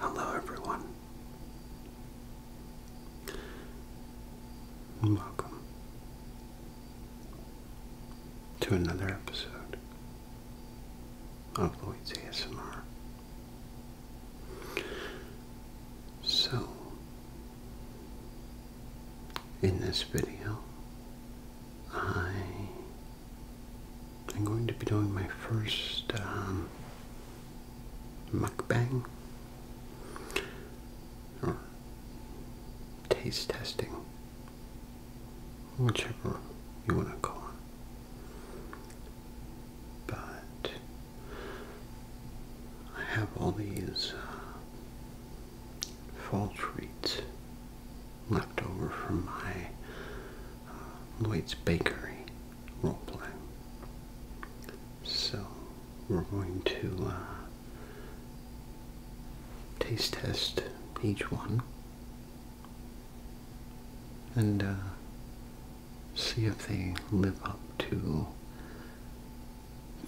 Hello, everyone. Welcome to another episode of Lloyd's ASMR. So, in this video, I I'm going to be doing my first um, mukbang taste testing, whichever you want to call it. But I have all these uh, fall treats left over from my uh, Lloyd's Bakery roleplay. So we're going to uh, taste test each one and uh, see if they live up to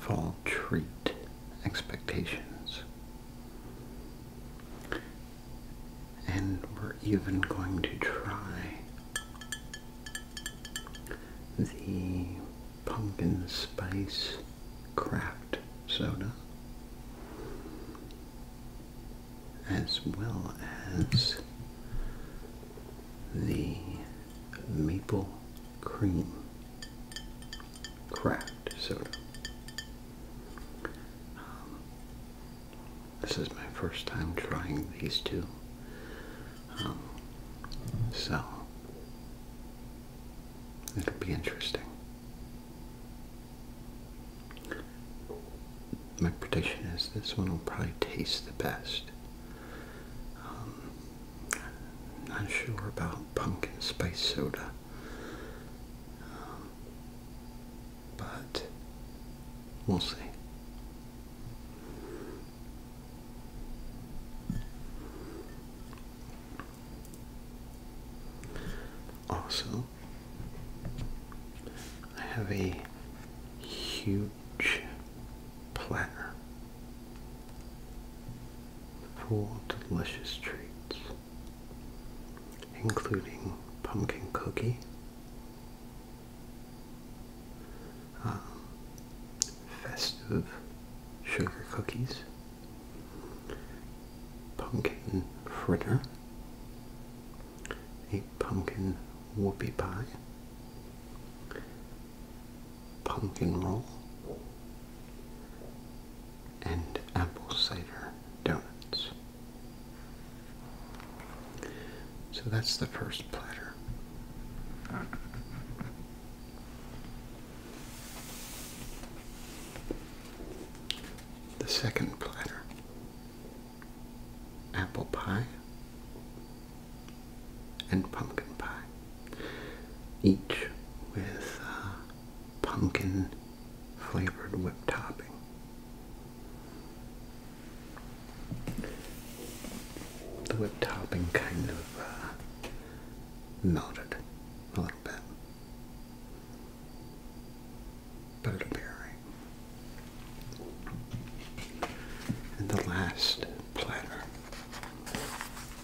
fall treat expectations and we're even going to try the pumpkin spice craft soda as well as the maple cream craft soda um, this is my first time trying these two. Um, so, it'll be interesting. My prediction is this one will probably taste the best. Um, not sure about pumpkin spice soda. Um, but we'll see. Also, I have a huge platter full of delicious treats, including pumpkin cookie, Ah. festive sugar cookies, pumpkin fritter, a pumpkin whoopie pie, pumpkin roll, and apple cider donuts. So that's the first platter. The second platter apple pie and pumpkin pie, each with pumpkin flavored whipped topping the whip topping kind of uh, melted a little bit, but it And the last platter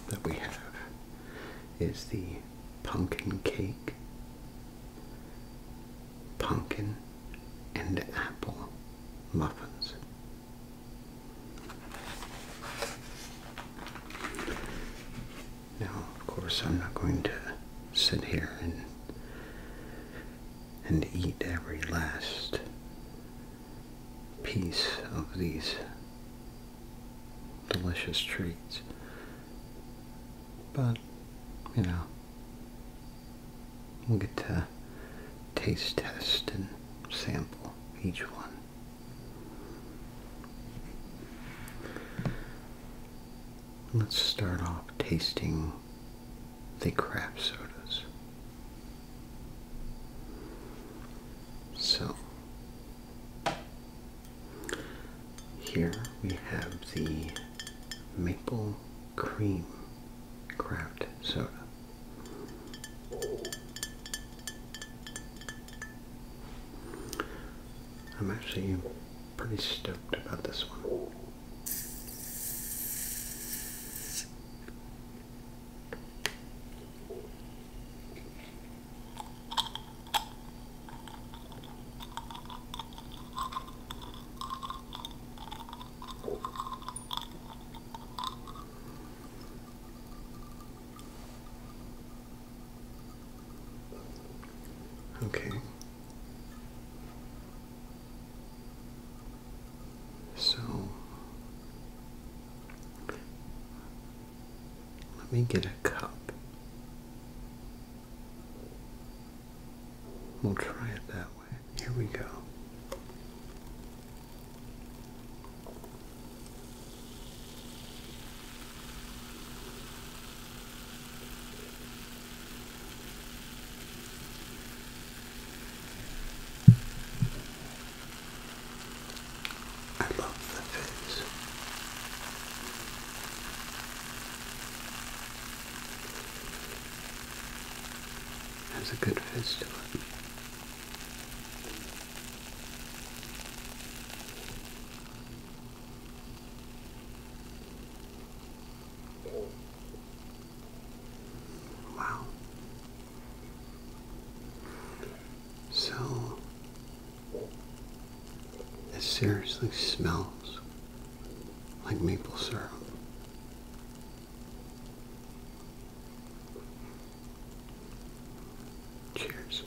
that we have is the pumpkin cake pumpkin and apple muffins. Now, of course, I'm not going to sit here and and eat every last piece of these delicious treats. But, you know, We'll get to taste test and sample each one. Let's start off tasting the craft sodas. So, here we have the maple cream craft soda. I'm actually pretty stoked about this one. Okay. So let me get a cup. We'll try it that here we go. I love the face as a good festival. Wow. So, it seriously smells like maple syrup. Cheers.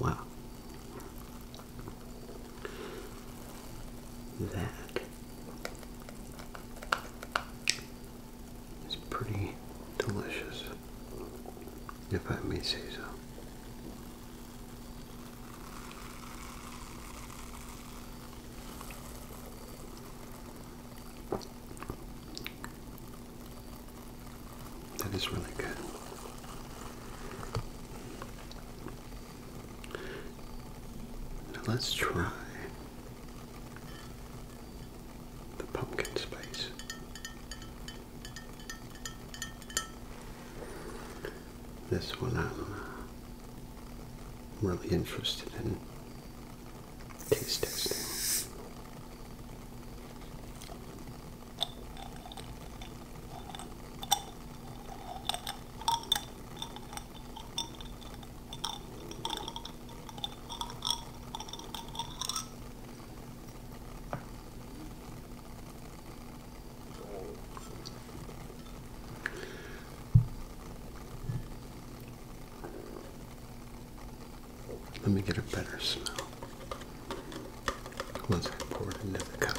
Wow. That it's pretty delicious, if I may say so. That is really good. Now let's try the pumpkin space. This one I'm uh, really interested in taste testing. Let me get a better smell once I pour it into the cup.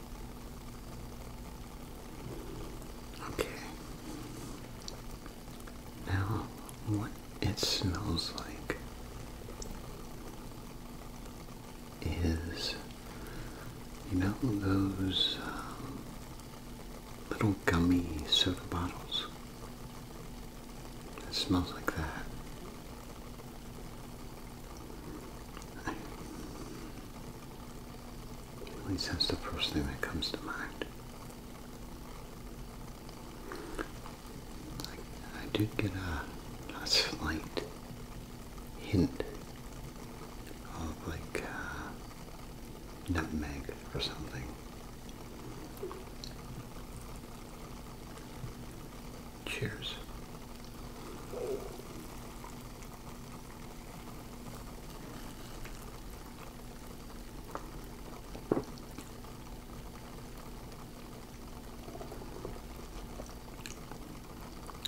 Okay. Now, what it smells like is, you know, those um, little gummy soda bottles. It smells like that. At least that's the first thing that comes to mind. I, do get a, slight hint of like uh, nutmeg or something. Cheers.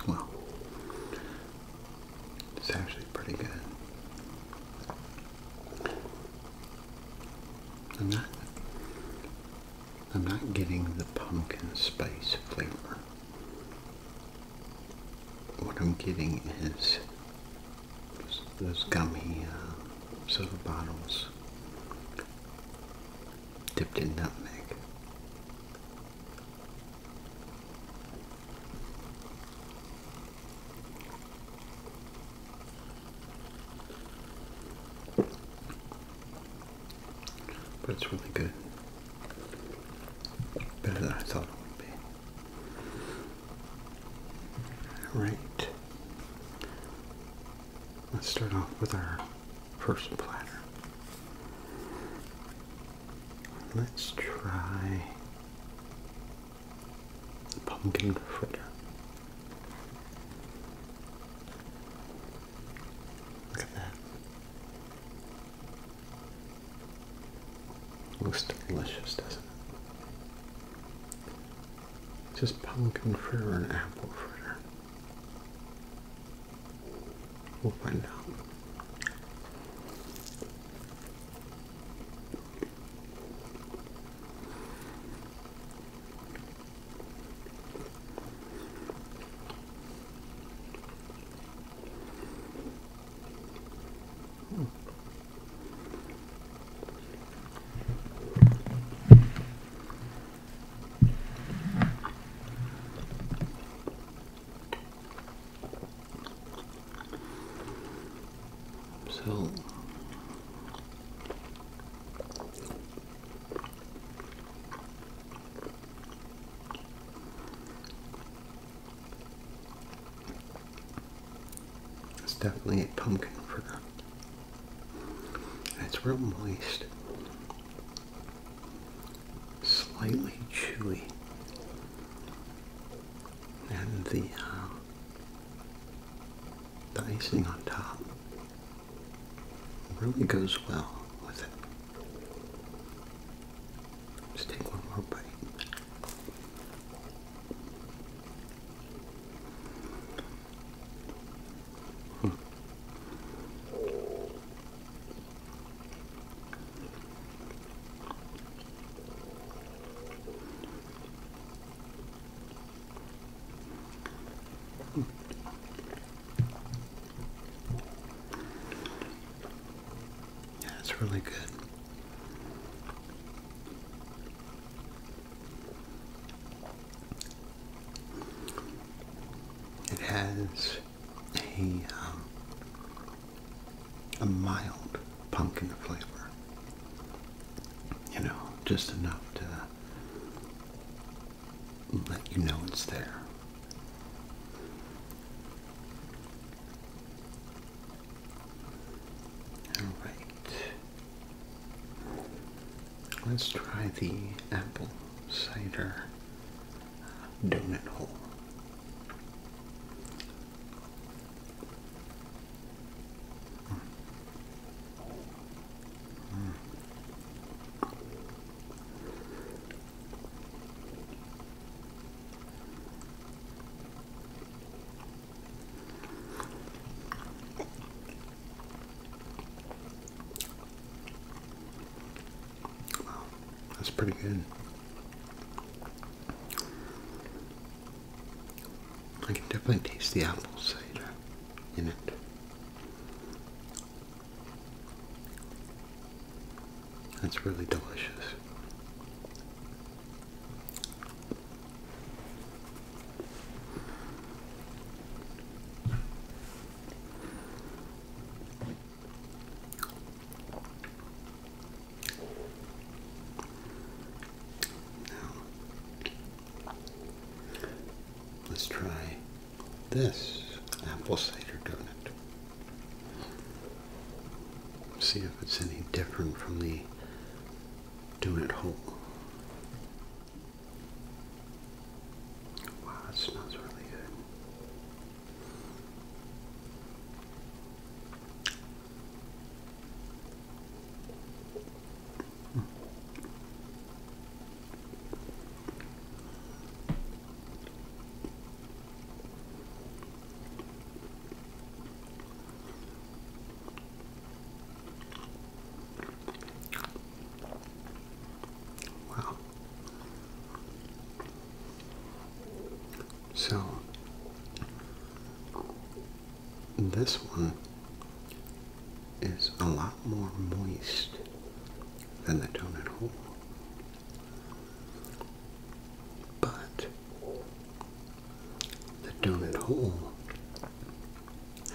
Well, it's actually pretty good. I'm not I'm not getting the pumpkin spice flavor what I'm getting is those gummy uh, silver bottles dipped in nutmeg. But it's really good. Better than I thought it would be. Alright. Let's start off with our first platter. Let's try pumpkin fritter. Look at that. Looks delicious, doesn't it? Just pumpkin fritter and apple fritter. We'll find out. Hmm. So it's definitely a pumpkin fruit. It's real moist, slightly chewy, and the uh, the icing on top really goes well with it. Just take one more bite. Yeah, it's really good. It has a um, a mild pumpkin flavor, you know, just enough to let you know it's there. Alright. Let's try the apple cider donut hole. Wow, that's pretty good. I can definitely taste the apple cider in it. That's really delicious. Now, let's try this apple cider donut. See if it's any different from the doing it home. Wow, it smells really good. Wow. So this one is a lot more moist than the donut hole, but the donut hole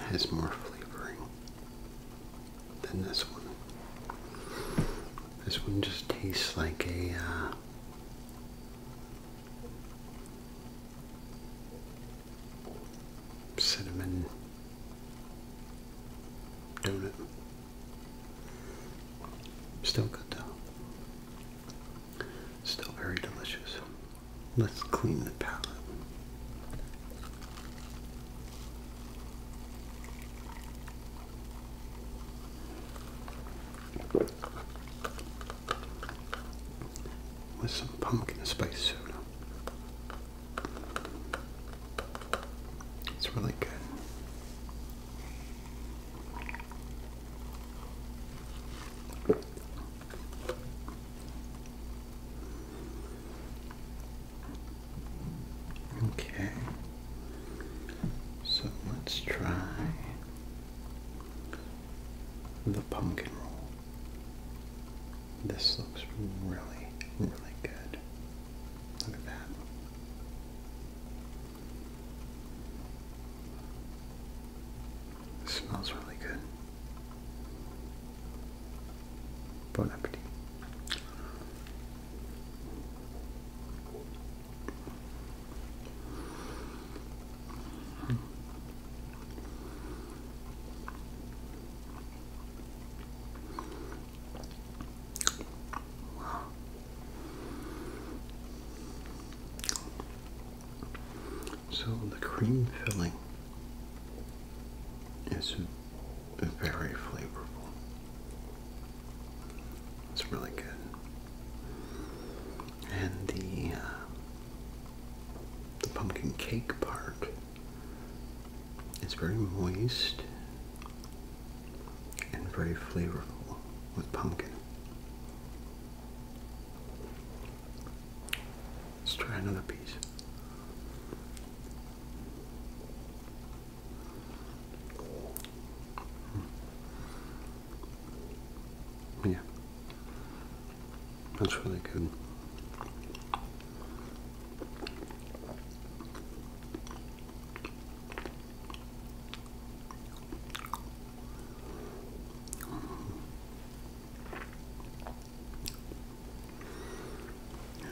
has more flavoring than this one. This one just tastes like a uh, cinnamon donut. Still good though. Still very delicious. Let's clean the palate. With some pumpkin spice soda. It's really good. Okay, so let's try the pumpkin roll. This looks really, really good. Look at that. It smells really good. Bon appetit. So the cream filling is very flavorful. It's really good. And the uh, the pumpkin cake part is very moist and very flavorful with pumpkin. Let's try another piece. Hmm. Oh, yeah, that's really good.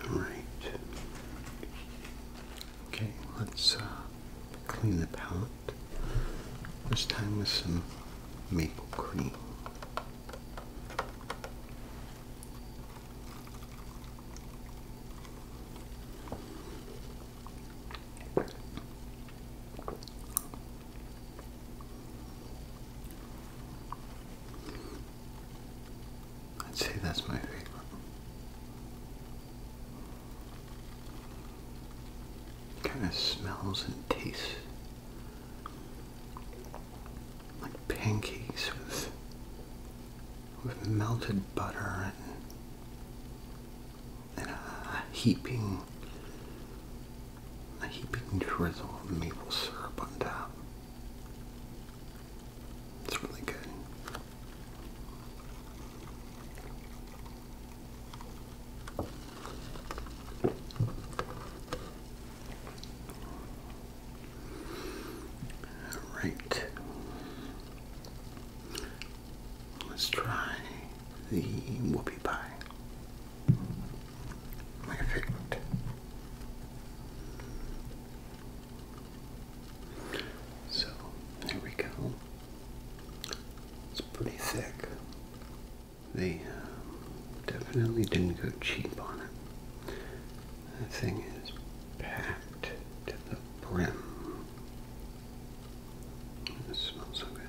All right. Okay, let's uh, clean the palette. This time with some maple cream. I'd say that's my favorite. Kind of smells and tastes like pancakes with with melted butter and and a heaping, a heaping drizzle of maple syrup on top. It's really good. All right. Let's try the whoopie pie. My favorite. So, there we go. It's pretty thick. They um, definitely didn't go cheap on it. That thing is packed to the brim. This smells so good.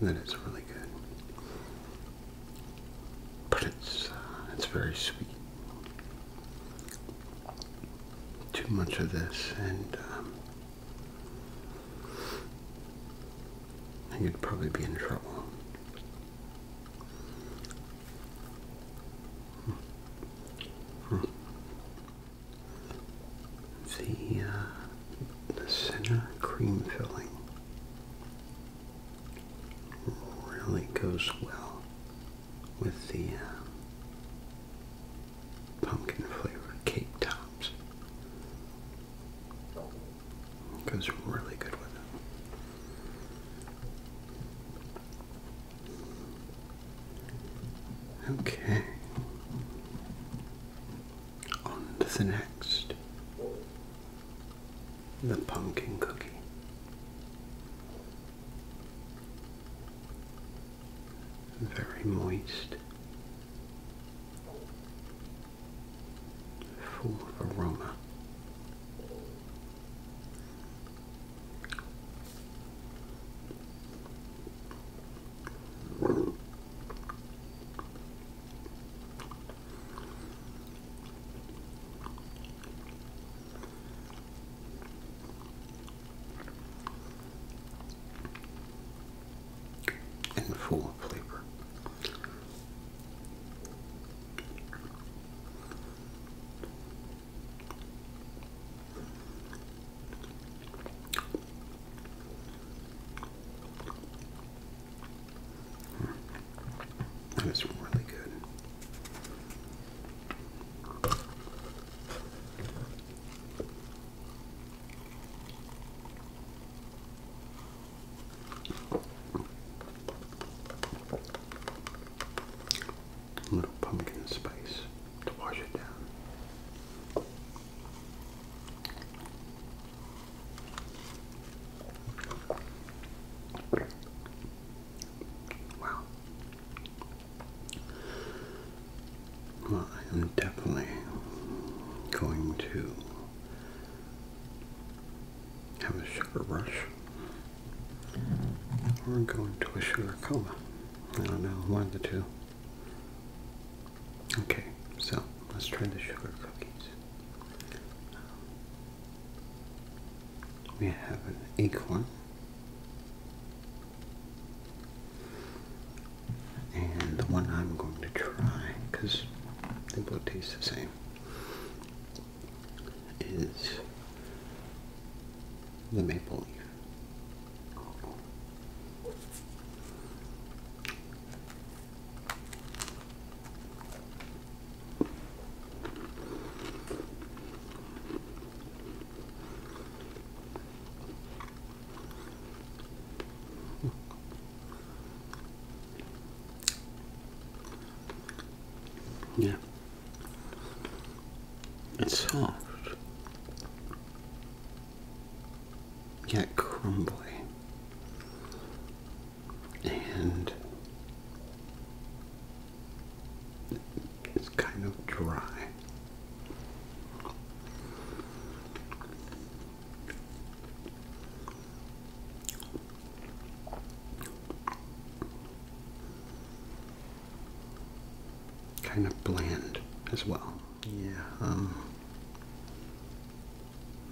Then it's really good. But it's uh, it's very sweet. Too much of this, and you'd um, probably be in trouble. The hmm. hmm the center cream filling really goes well with the uh, pumpkin flavored cake tops. It goes really good with them. Okay, on to the next the pumpkin cookie. Very moist, full of aroma and full of flavor. That is really good. A little pumpkin spice to wash it down. Wow. Well, I am definitely going to have a sugar rush or go into a sugar coma. I don't know, one of the two. Okay, so let's try the sugar cookies. We have an acorn. And the one I'm going to try, because they both taste the same, is the maple leaf. Yeah. It's soft. Yet crumbly and it's kind of dry. Kind of bland as well. Yeah. Um,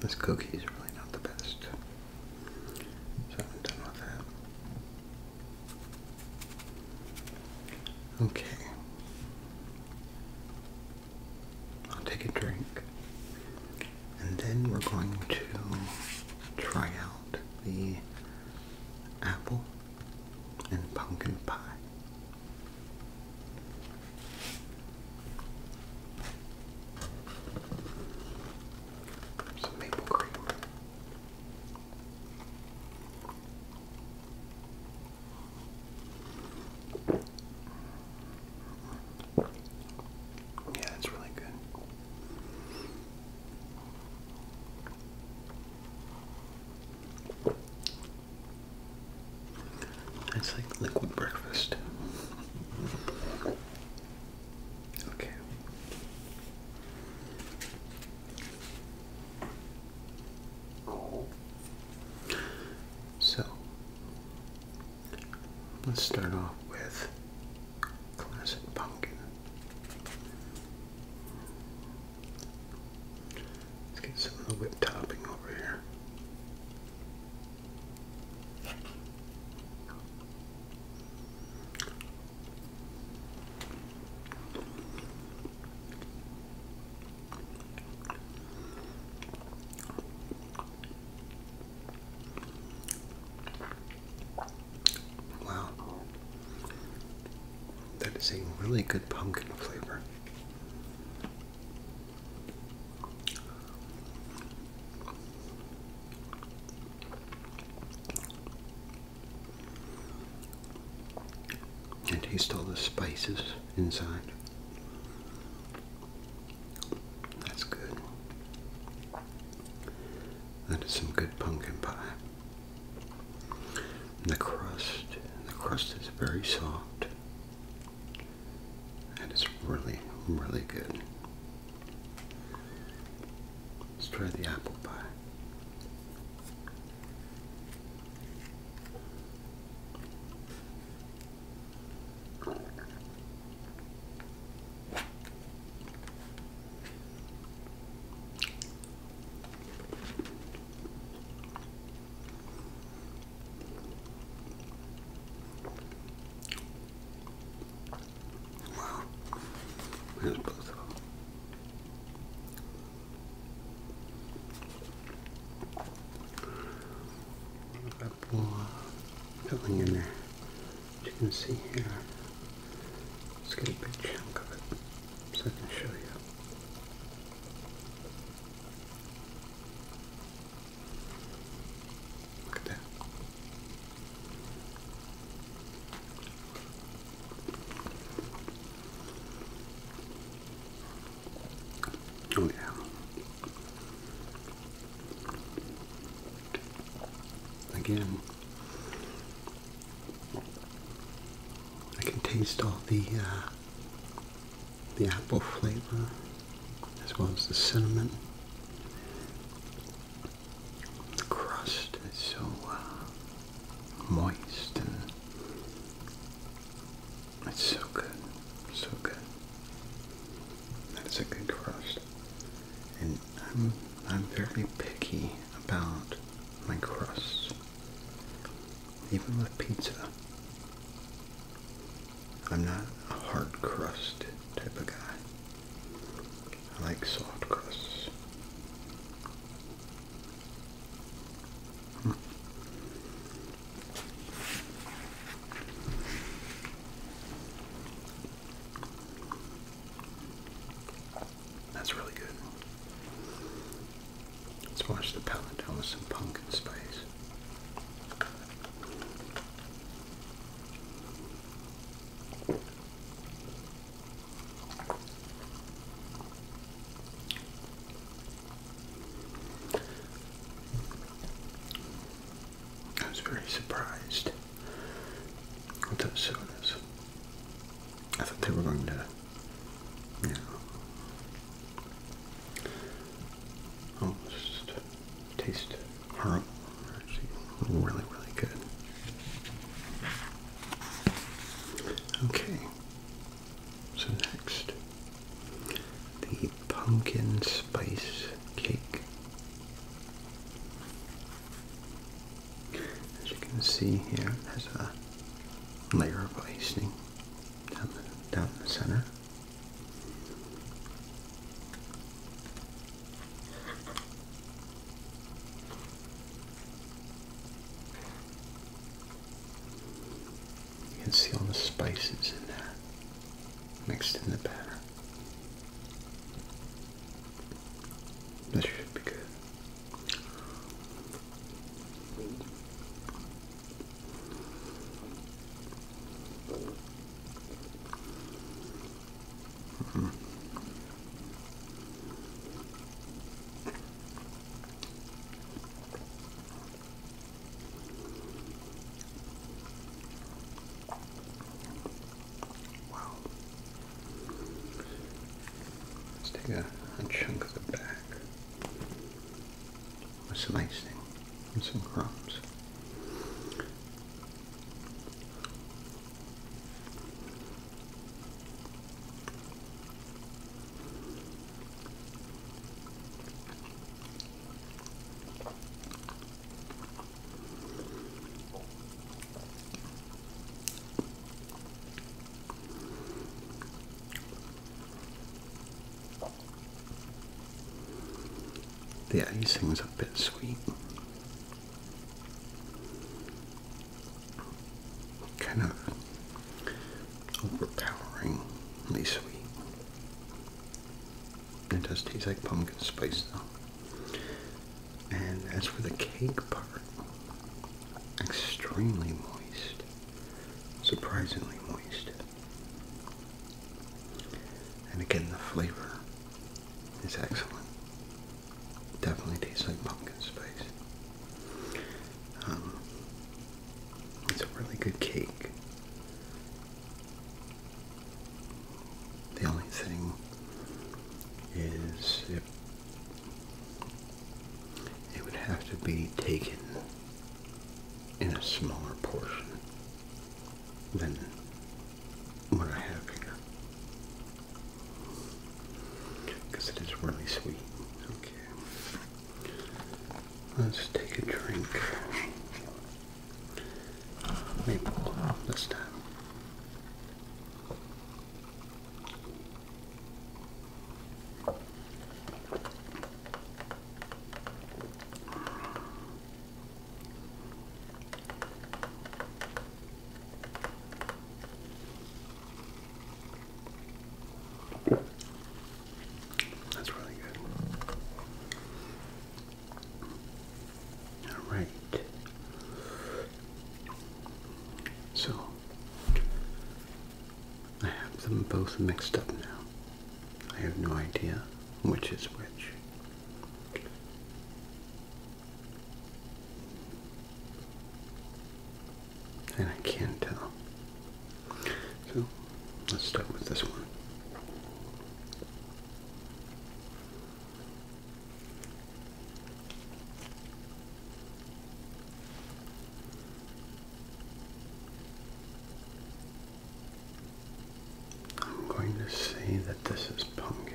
this cookie is really not the best. So I'm done with that. Okay. I'll take a drink. And then we're going to try out the apple and pumpkin pie. Some maple cream. Yeah, it's really good. It's like liquid breakfast. Okay. So let's start off with classic pumpkin. Let's get some of the whip topping over here. Wow, that is a really good pumpkin flavor. And taste all the spices inside. That's good. That is some good pumpkin pie. the crust, the crust is very soft. That is really, really good. Let's try the apple pie. Wow. There's both of them. Apple uh, filling in there. you can see here. Let's get a big of it so I can show you. Look Oh, yeah. Again, I can taste all the uh, the apple flavor as well as the cinnamon. The crust is so uh, moist and it's so good, so good. That's a good crust. And I'm, I'm very picky about my crust. even with pizza. I'm not a hard crust type of guy. I like soft crusts. Hmm. That's really good. Let's wash the paladella with some pumpkin spice. I was very surprised with those sodas. I thought they were going to, you know, almost taste horrible. Actually, really, really good. Okay. So next, the pumpkin spice cake. As you can see here, it has a layer of icing down the, down the center. You can see all the spices in there mixed in the batter. This should be good. Let's take a, chunk of the back. A slicing and some crumbs. The icing icing's a bit sweet kind of overpoweringly sweet. It does taste like pumpkin spice though. And as for the cake part, extremely moist. Surprisingly moist. And again, the flavor it's excellent. Definitely tastes like pumpkin spice. Um, it's a really good cake. The only thing is it, it would have to be taken in a smaller portion than what I have here. Because it is really sweet. Okay. Let's take a drink. Maple this time. That's really good. All right. So I have them both mixed up now. I have no idea which is which. And I can't tell. So let's start with this one. I'm going to say that this is pumpkin.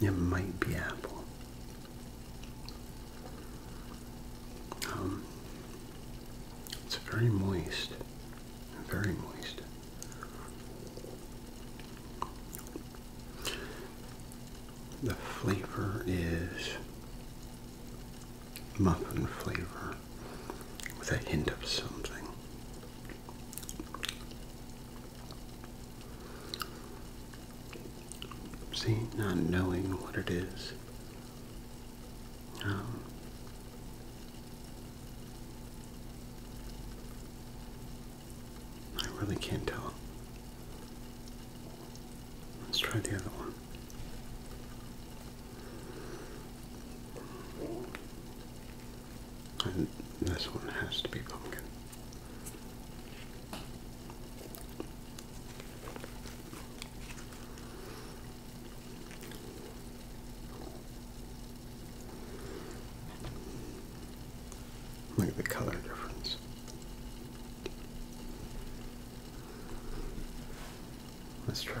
It might be apple. Um, it's very moist, very moist. The flavor is muffin flavor with a hint of something. See, not knowing what it is. Um, I really can't tell. Let's try the other one this one has to be pumpkin. Look at the color difference. Let's try.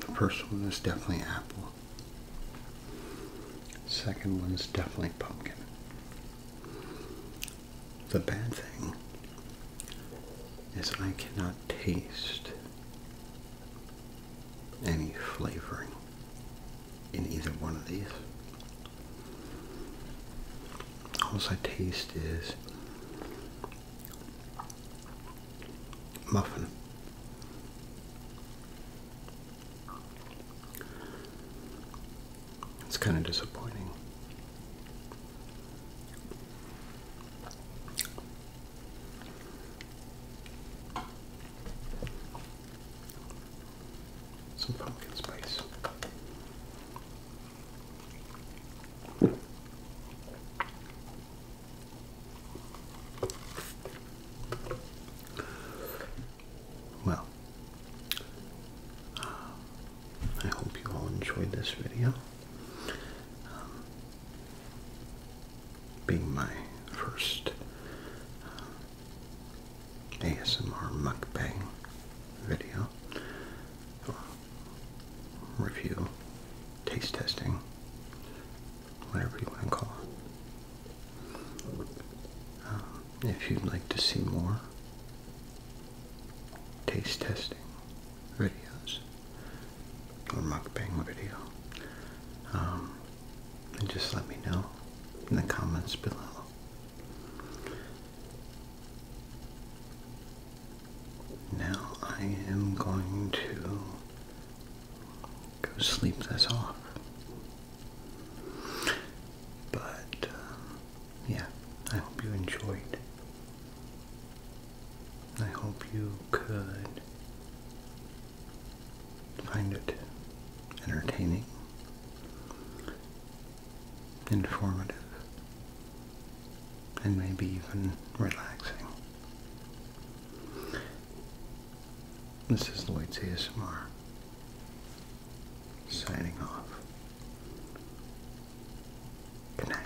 The first one is definitely apple. Second one is definitely pumpkin. The bad thing is I cannot taste any flavoring in either one of these. All I taste is muffin. It's kind of disappointing. Some pumpkin spice. Well, I hope you all enjoyed this video. Um, being my first uh, ASMR mukbang video review, taste testing, whatever you want to call it. Um, if you'd like to see more taste testing videos, or mukbang video. Um, and just let me know in the comments below. Now I am going to go sleep this off. But um, yeah, I hope you enjoyed I hope you could find it entertaining, informative, and maybe even relaxing. This is Lloyd's ASMR, signing off. Good night.